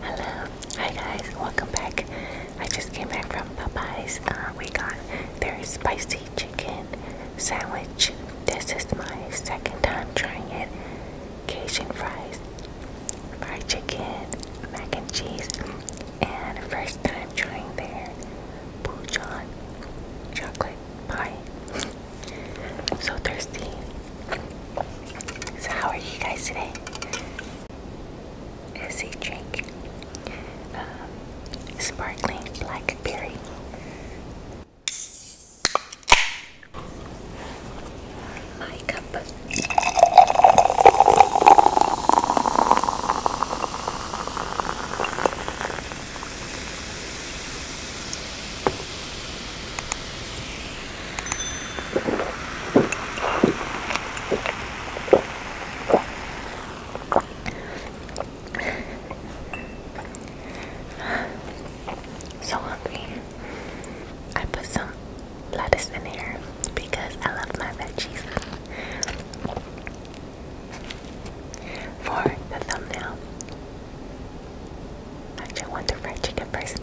Hello, hi guys, welcome back. I just came back from Popeyes. Uh, we got their spicy chicken sandwich. This is my second time trying it. Cajun fries, fried chicken, mac and cheese, and first time trying their Pujan chocolate pie. I'm so thirsty. So how are you guys today? Is a drink, um, sparkling blackberry. My so hungry. I put some lettuce in here because I love my veggies. For the thumbnail, I just want the fried chicken first.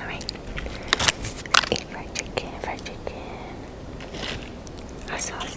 Alright, eat fried chicken, fried chicken, hot sauce.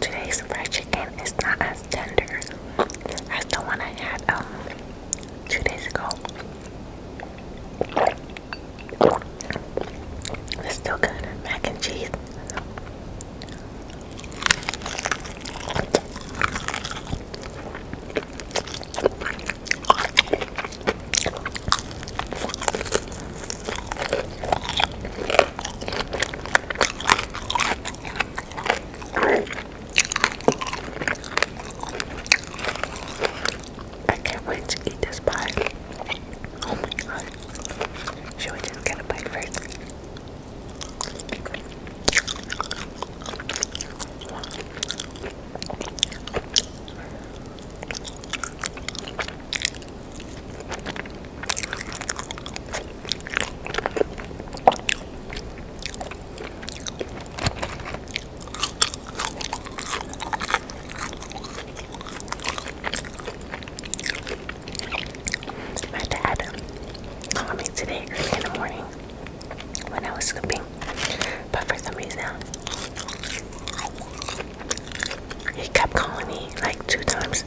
Today's fried chicken is not as tender as the one I had um, two days ago. It's still good. Mac and cheese. I can't wait to eat this pie. Should we just get a bite first? My dad called me today early in the morning when I was sleeping but for some reason, he kept calling me like two times.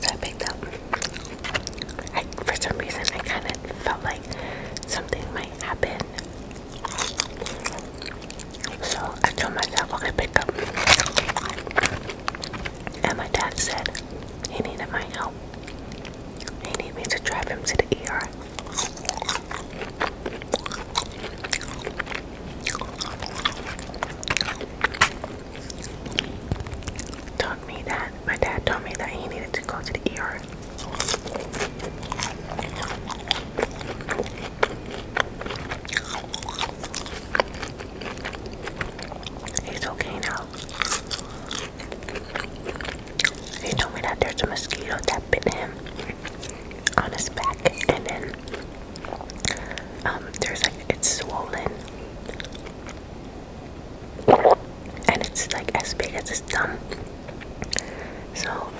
So I picked up. for some reason, I kind of felt like something might happen. So I told myself, I okay, pick up. And my dad said he needed my help. He needed me to drive him to the ER. Told me that my dad told me that he needed to go to the ER. He's okay now. He told me that there's a mosquito that bit him on his back, and then um, there's like it's swollen, and it's like as big as his thumb. So,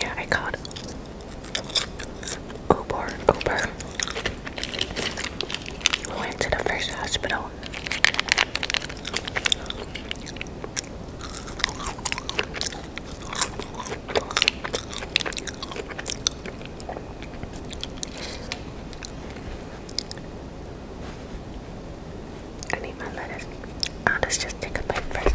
yeah, I called Uber. Uber. We went to the first hospital I need my lettuce. Oh, let's just take a bite first.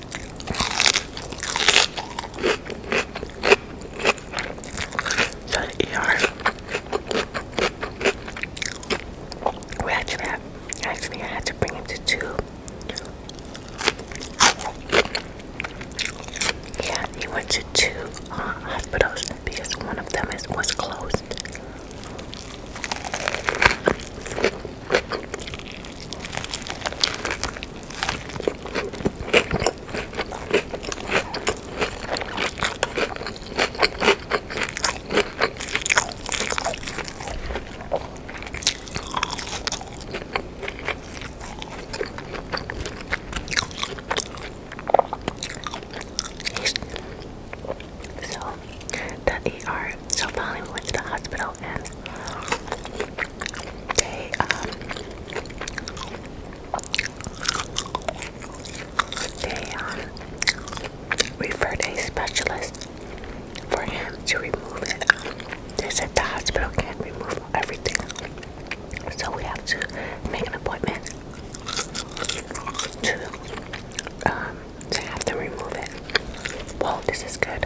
So the ER, we actually had, actually I had to bring him to two. Yeah, he went to two uh, hospitals because one of them is, was closed. So the ER. So finally we went to the hospital they um, they um, referred a specialist for him to remove it. They said the hospital can't remove everything, so we have to make an appointment to um, to have them remove it. Well, this is good.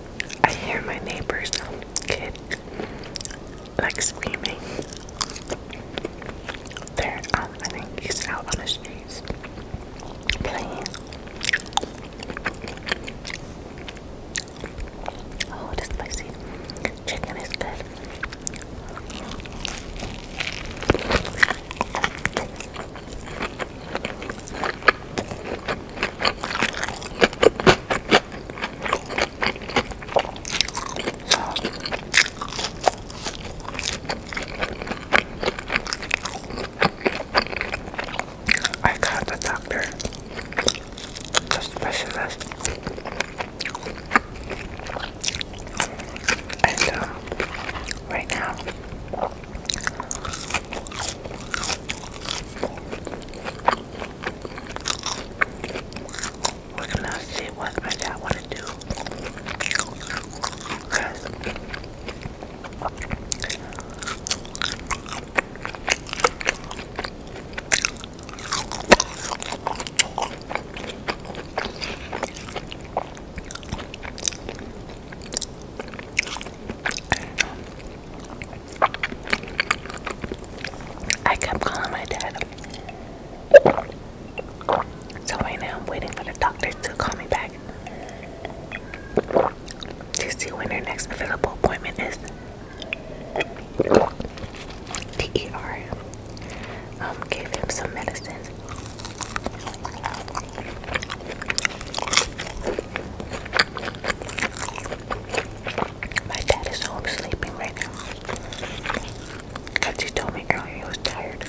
I hear my neighbor's kid like screaming. There, um, I think out on the streets playing. Oh, it is spicy. Chicken is good. I got the doctor, the specialist, and uh, right now we're gonna see what my dad wanna do. I kept calling my dad. So right now I'm waiting for the doctor to call me back to see when their next available appointment is. The um, gave him some medicines. My dad is home sleeping right now. Cause he told me earlier he was tired.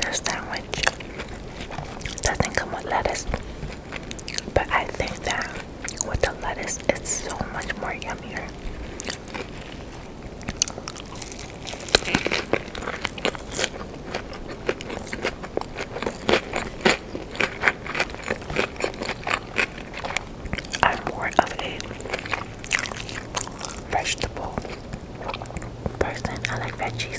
This sandwich doesn't come with lettuce, but I think that with the lettuce, it's so much more yummier. I'm more of a vegetable person. I like veggies.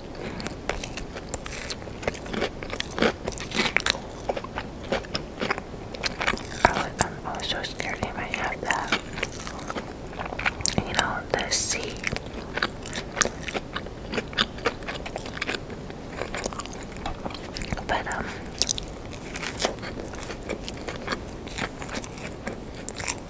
I was, um, so scared he might have that. You know, the sea. But, um, yeah,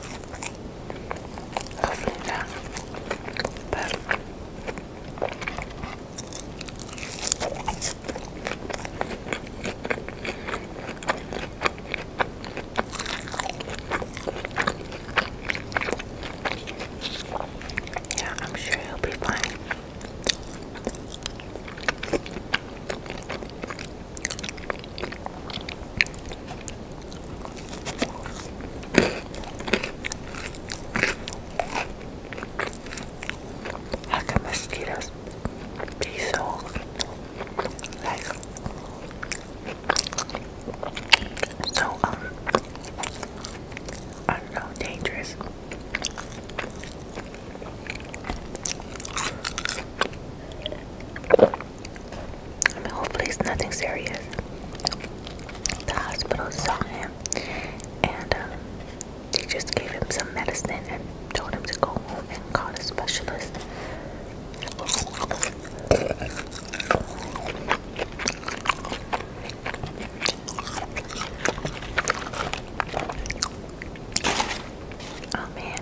I'm sure he'll be fine. How can mosquitoes be so like so um dangerous? hopefully it's nothing serious. The hospital saw him and um, they just gave him some medicine and told him to go home and call a specialist. Oh man.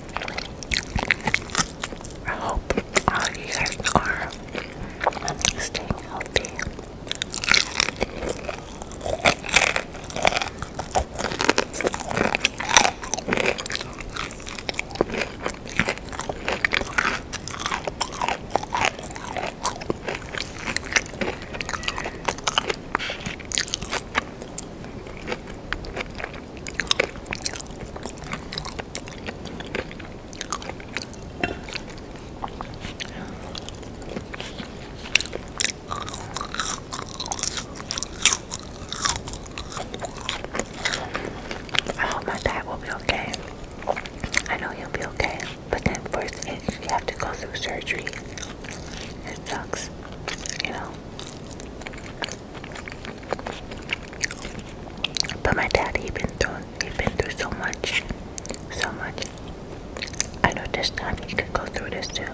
I hope all you guys are staying healthy. I hope my dad will be okay. I know he'll be okay, but then first you have to go through surgery. It sucks, you know. But my dad, he been through, he been through so much, so much. I know this time he could go through this too.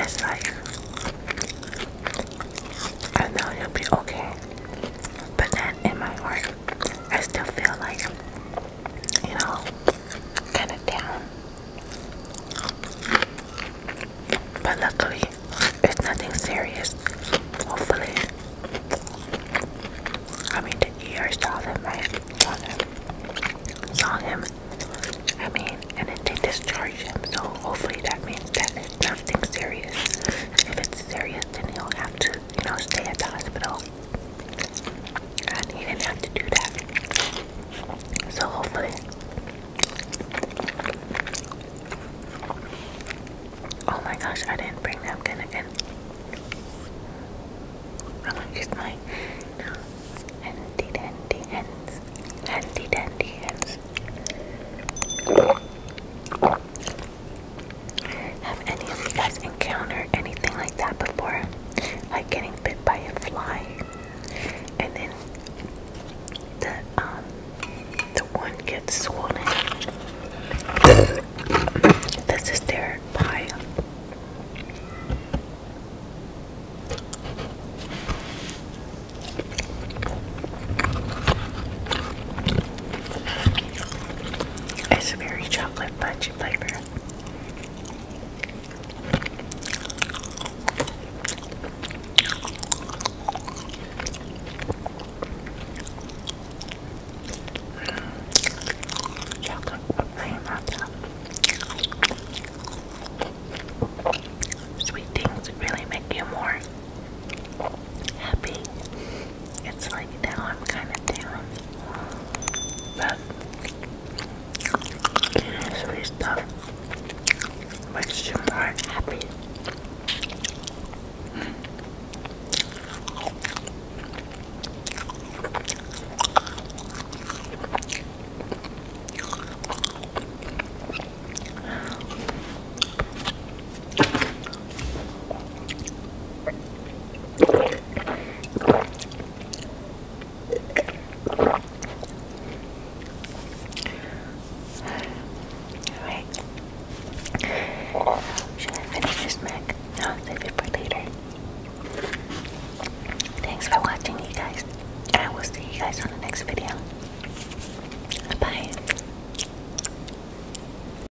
It's like I know you'll be okay, but then in my heart, I still feel like you know, kind of down. But luckily, it's nothing serious. Hopefully, I mean, the ER saw him, right? Saw him. Saw him. I mean, and they discharged him. So hopefully, that means that it's nothing serious. If it's serious, then he'll have to you know, stay at the hospital. And he didn't have to do that. So hopefully, oh my gosh, I didn't bring napkin again. I'm going my handy dandy hands, handy dandy hands. Have any of you guys encountered anything like that before? Like getting bit by a fly, and then the um the one gets swollen. this is their pie. It's very chocolate budget peachy Chocolate cream on top. Sweet things really make you more happy. It's like now I'm kind of down. But eating sweet stuff makes you more happy. Alright. Should I finish this mac? No, save it for later. Thanks for watching you guys. I will see you guys on the next video. Bye.